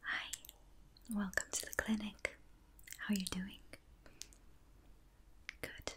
Hi, welcome to the clinic. How are you doing? Good.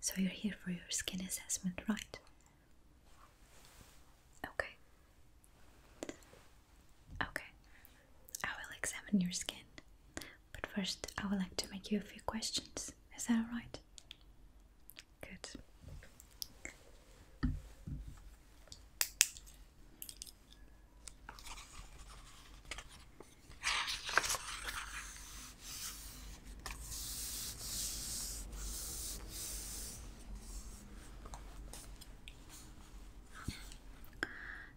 So you're here for your skin assessment, right? Okay. Okay. I will examine your skin. But first, I would like to make you a few questions. Is that alright? Good.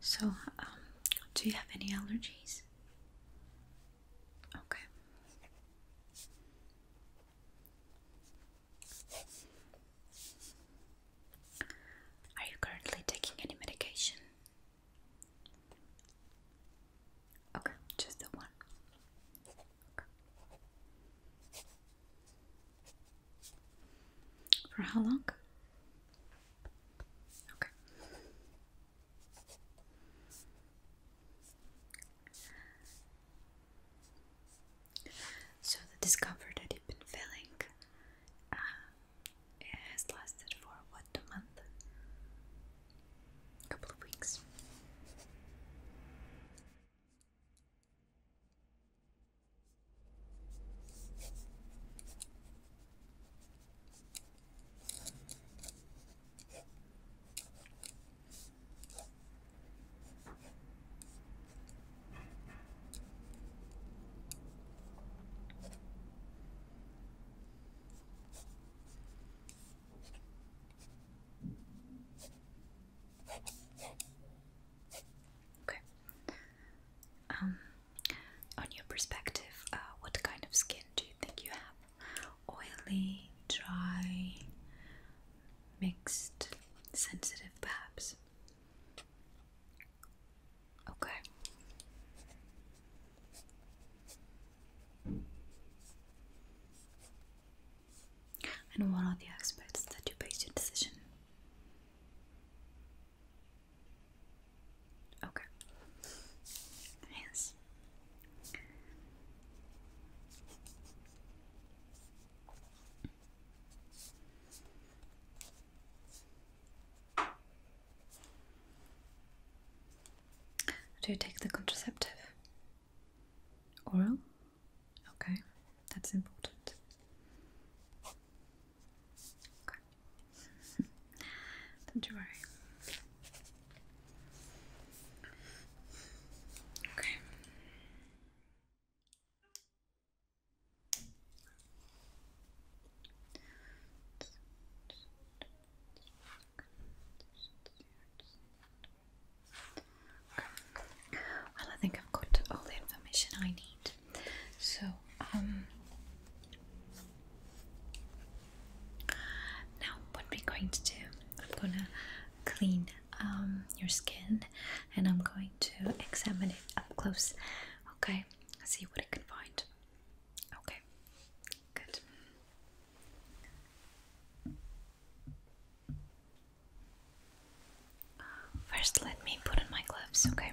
So, um, do you have any allergies? Okay. Are you currently taking any medication? Okay, just the one. For how long? Okay. So the discomfort that you've been feeling uh, has lasted for what a month, a couple of weeks. Okay. Um, on your perspective, uh, what kind of skin do you think you have? oily, dry, mixed, sensitive perhaps. Okay. And what are the aspects that you base your decision? Okay. Yes. Do you take the contraceptive? Oral? Okay, that's important. Okay. Don't worry. Okay. Well, I think I've got all the information I need. So, um, now, what we're going to do, I'm gonna clean um, your skin and I'm going to examine it up close, okay? See what I can find. Okay, good. First, let me put on my gloves, okay?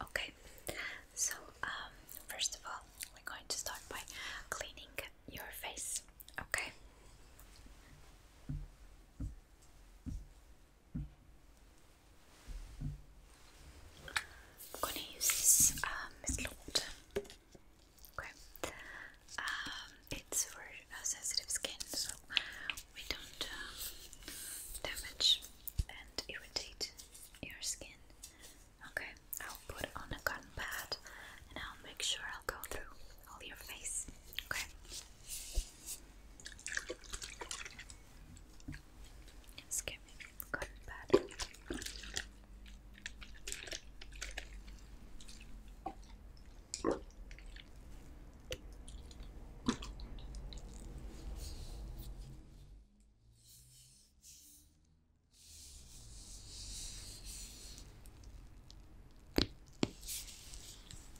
Okay, so um, first of all, we're going to start by cleaning your face, okay? I'm going to use this um, water. Okay. Um, it's for sensitive skin, so we don't um, damage and irritate your skin. Okay, I'll put on a cotton pad and I'll make sure I'll go through all your face. Okay. Just give me good batter.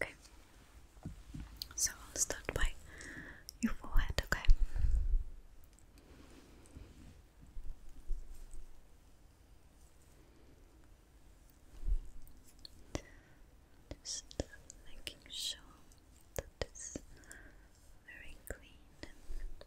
Okay, so I'll start by your forehead, okay? Just making sure that it's very clean and neat.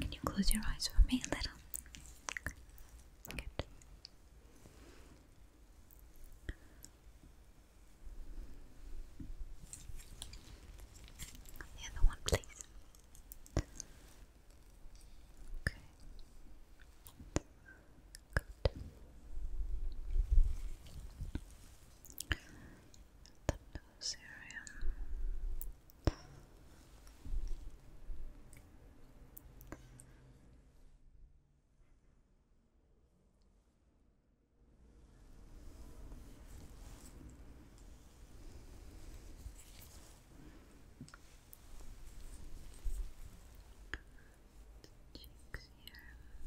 Can you close your eyes for me a little? The other one, please. Okay. Good the nose area. cheeks here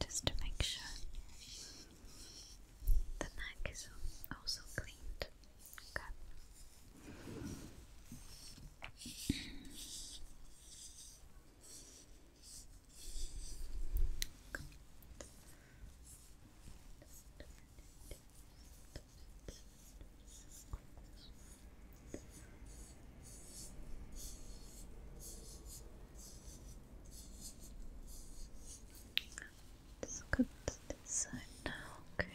just to make sure the neck is also cleaned. Good. Let's go to this side now, okay.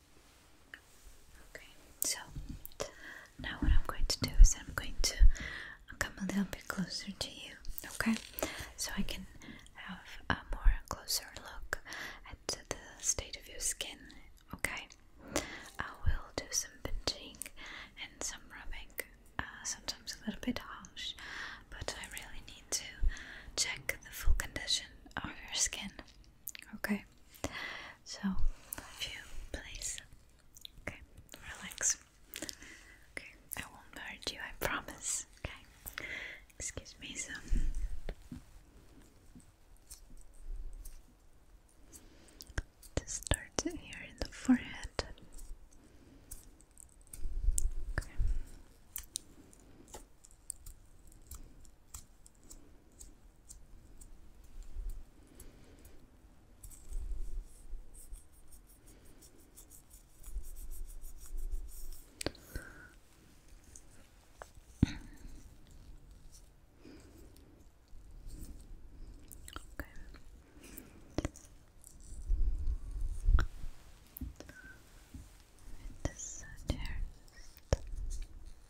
Okay, so now what I'm going to do is I'm going to come a little bit closer to you, okay? So I can have a more closer look at the state of your skin, okay? I will do some pinching and some rubbing, uh, sometimes a little bit harsh, but I really need to check the full condition of your skin, okay? So, if you please, okay, relax. Okay, I won't hurt you, I promise. Okay, excuse me. So, to start here in the forehead. Okay. This uh,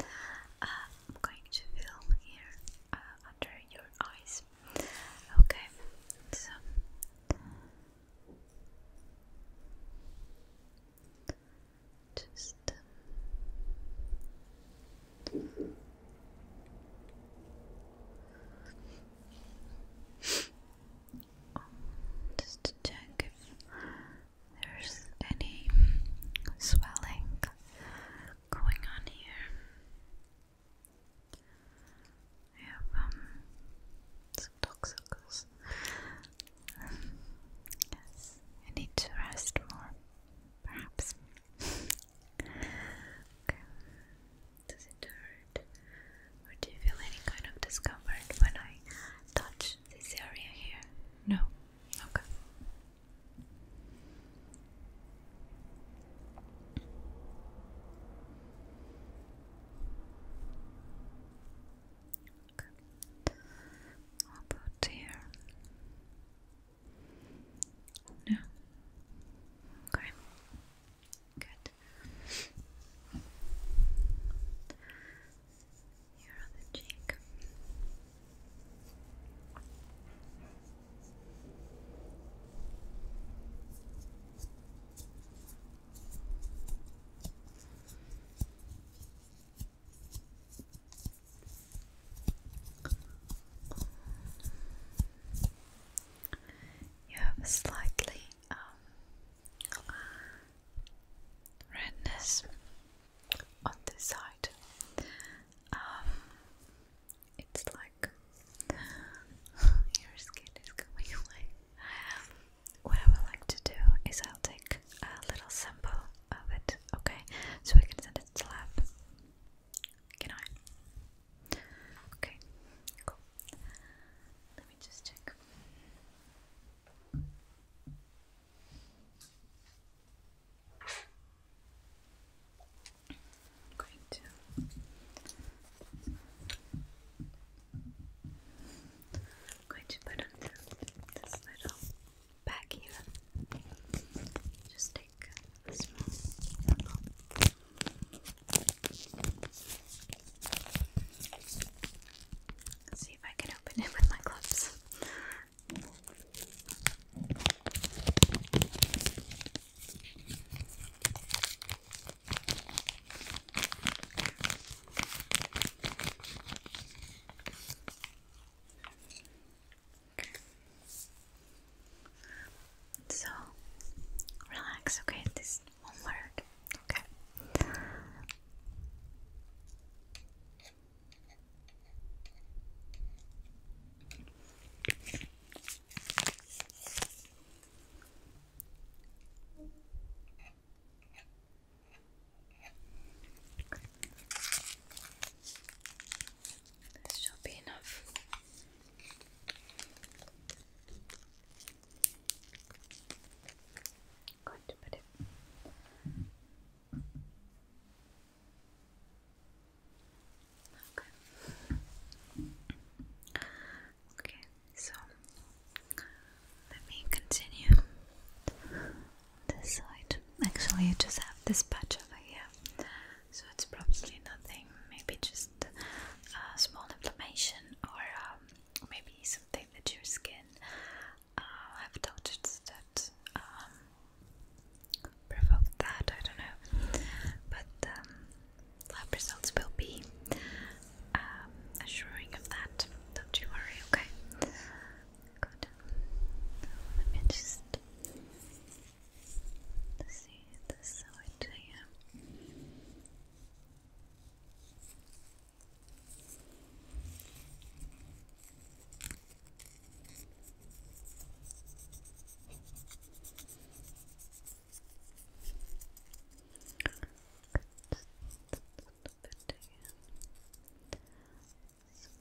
uh, I'm going to film here uh, under your eyes. Okay, so just. Um, just to check if there's any swelling going on here? I have um, some toxicals. yes, I need to rest more, perhaps. okay. Does it hurt? Or do you feel any kind of discomfort when I touch this area here? No? Okay. Okay. How here? No. Okay. Good. Here on the cheek. You have a slightly um, redness on this side. Um, it's like your skin is going What I would like to do is I'll take a little sample of it, okay? So we can send it to lab. Can I? Okay, cool. Let me just check. I'm going to going to put on this little back here. Just take a small apple. see if I can open it with my gloves. So relax, okay? This one word, okay? This shall be enough. i to put it Okay. Okay, so let me continue this side. Actually, you just have this patch over here, so it's probably nothing. Maybe just a small inflammation, or um, maybe something that your skin uh, have touched that um, provoked that, I don't know. But um, lab results will be um, assuring of that. Don't you worry, okay? Good. Let me just see this side here.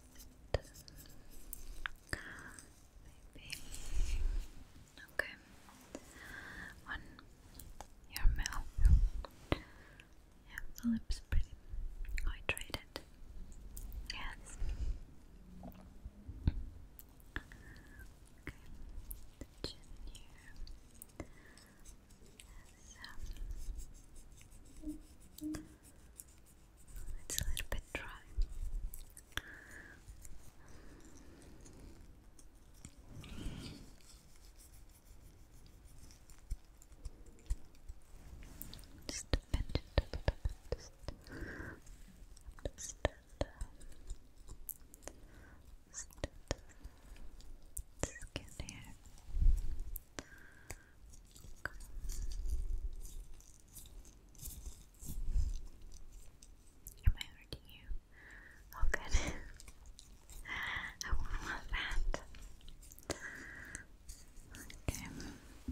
Maybe. Okay. One, your mouth. Yeah, the lips pretty hydrated. Yes. Okay. The chin here. Yes. it's a little bit dry. Just a bit, just a little bit, just stand stand skin here. Am I hurting you? Oh good. I want that. Okay.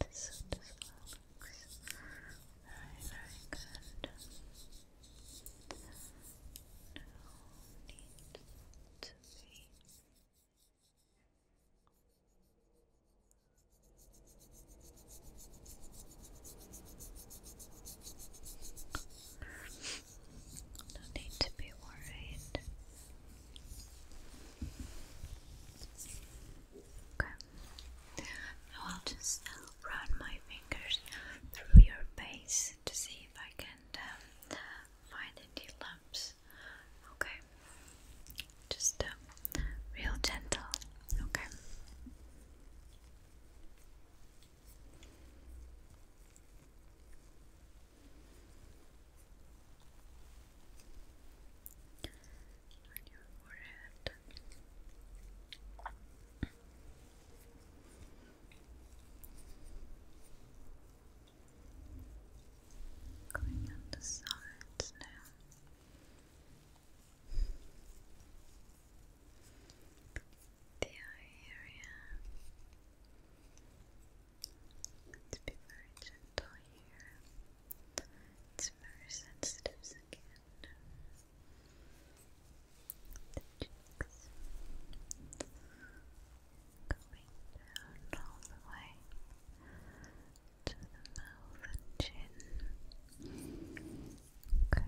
This, this looks very, very good. No need to be no need to be worried. Okay. I'll just uh, run my fingers through your face to see if I can um, find any lumps. Okay. Just um, real gentle. Okay on your forehead. Going on the sides now the eye area. Let's be very gentle here. It's very sensitive again. The cheeks going down all the way to the mouth and chin. Okay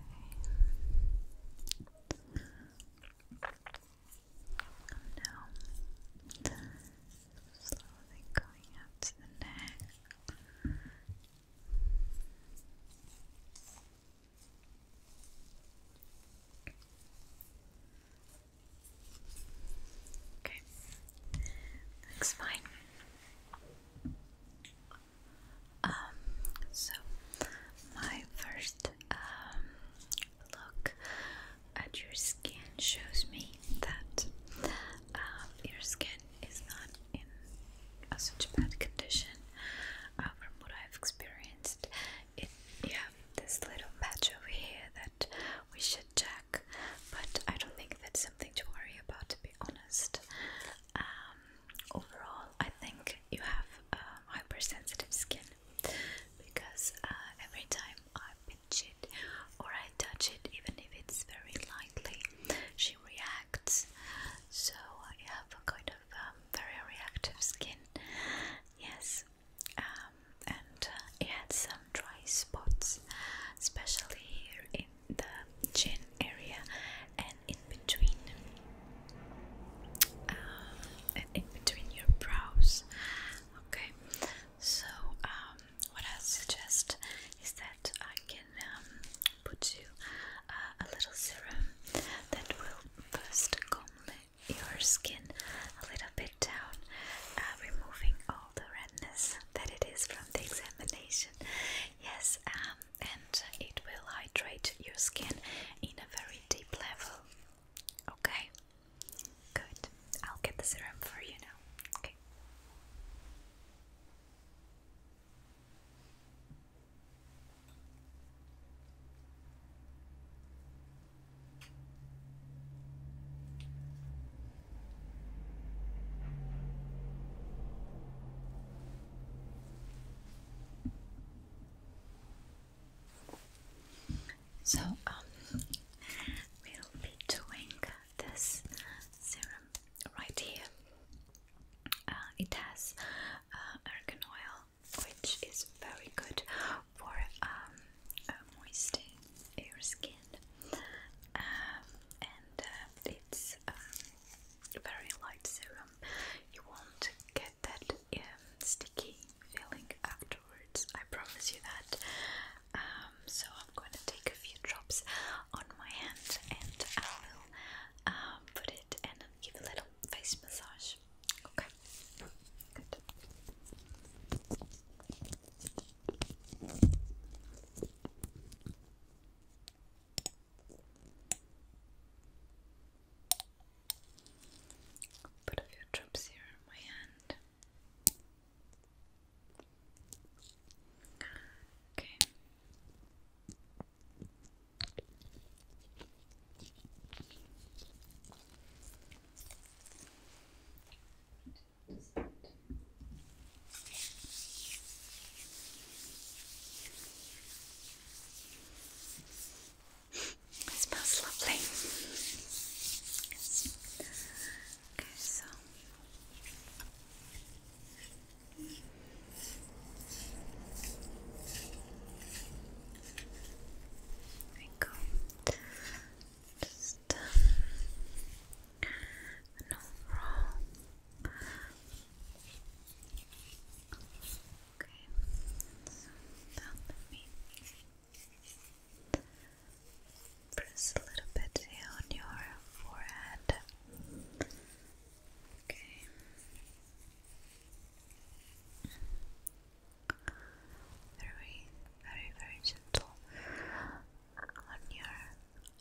now slowly going up to the neck. Okay, looks fine. Um, so my first um look at your skin shows me that um, your skin is not in a such a bad condition. Uh, from what I've experienced, it you this little patch over here that we should check, but I don't think that's something to worry about, to be honest. Um, overall, I think you have um, hypersensitive skin because uh, every time I pinch it or I touch it, even if it's very lightly, she reacts. So I have a kind of um, very reactive skin. Yes, um, and uh, it had some dry spots, especially here in the chin area and in between. Um, and in between your brows. Okay, so um, what I suggest is that I can um, put you uh, a little serum that will first calm your skin a little bit down, uh, removing all the redness that it is from the examination. Yes, and it will hydrate your skin in a very deep level. Okay. Good. I'll get the serum for you now. Okay. So, um, we'll be doing this serum right here. Uh, it has uh, argan oil, which is very good for um, uh, moisturizing your skin, um, and it's a very light serum. You want to get that um, sticky feeling afterwards. I promise you that. Um, so I'm going to take a few drops on my hand and I will um, put it and give a little face massage. Okay. Good put a few drops here on my hand. Okay. It smells lovely. Okay, so there we go. Just um, an Okay, so let me press a little bit on your forehead. Okay. Very, very, very gentle on your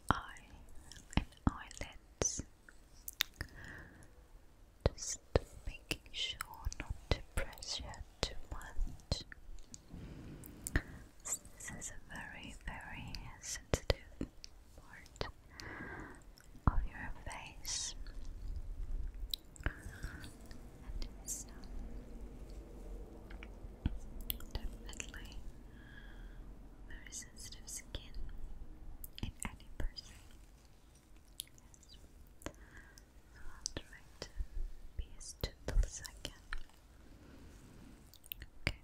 eye and eyelids just making sure not to press pressure too much. This is a very, very sensitive part of your face. And it's um, definitely very sensitive skin in any person. I'll be as gentle as I can. Okay.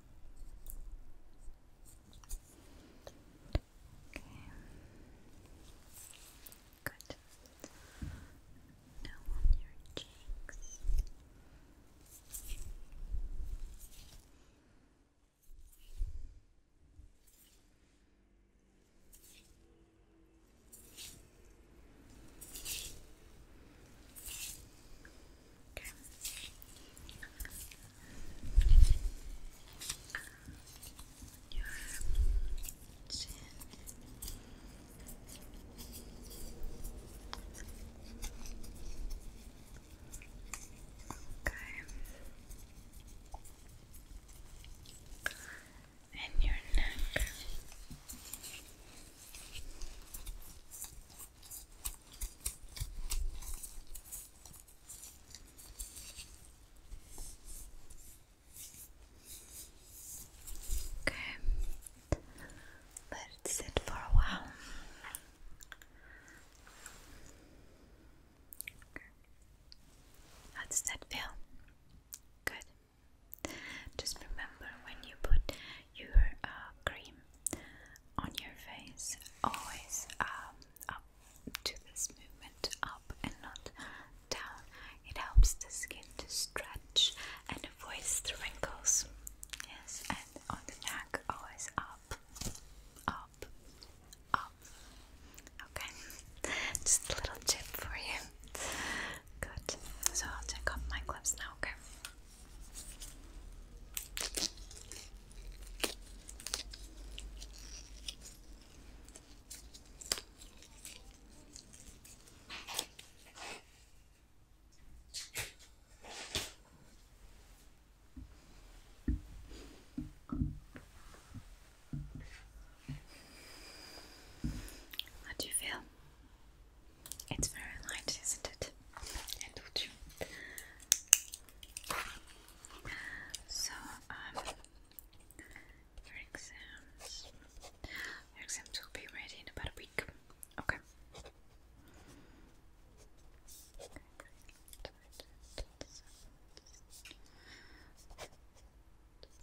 Okay. Good. Now on your cheeks. Okay. Your chin. Okay and your neck. Okay, let it sit for a while. How does that feel? Good. Just remember when you put your uh, cream on your face, always um, up to this movement, up and not down. It helps the skin to stretch and avoid the wrinkles. Yes, and on the neck, always up, up, up. Okay, just a little tip for you. Good. So I'll take off my clips now, Okay. How do you feel? It's very light, isn't it? So, um, your exams, your exams will be ready in about a week. Okay.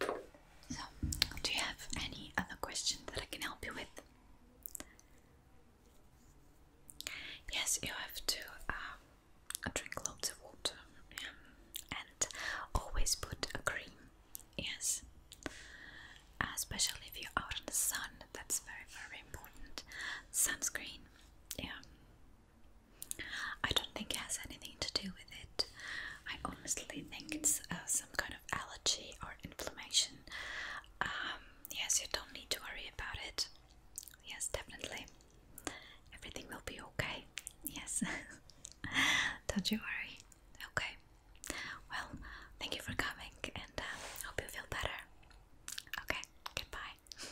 So, do you have any other questions that I can help you with? Yes, you have to um, drink lots of water yeah. and always put a cream. Yes, uh, especially if you're out in the sun, that's very, very important. Sunscreen, yeah, I don't think it has anything to do with it. I honestly think it's uh, some kind of allergy or inflammation. Um, yes, you don't need to worry about it. Yes, definitely. Everything will be okay. Yes. don't you worry. Okay. Well, thank you for coming and uh, hope you feel better. Okay, goodbye.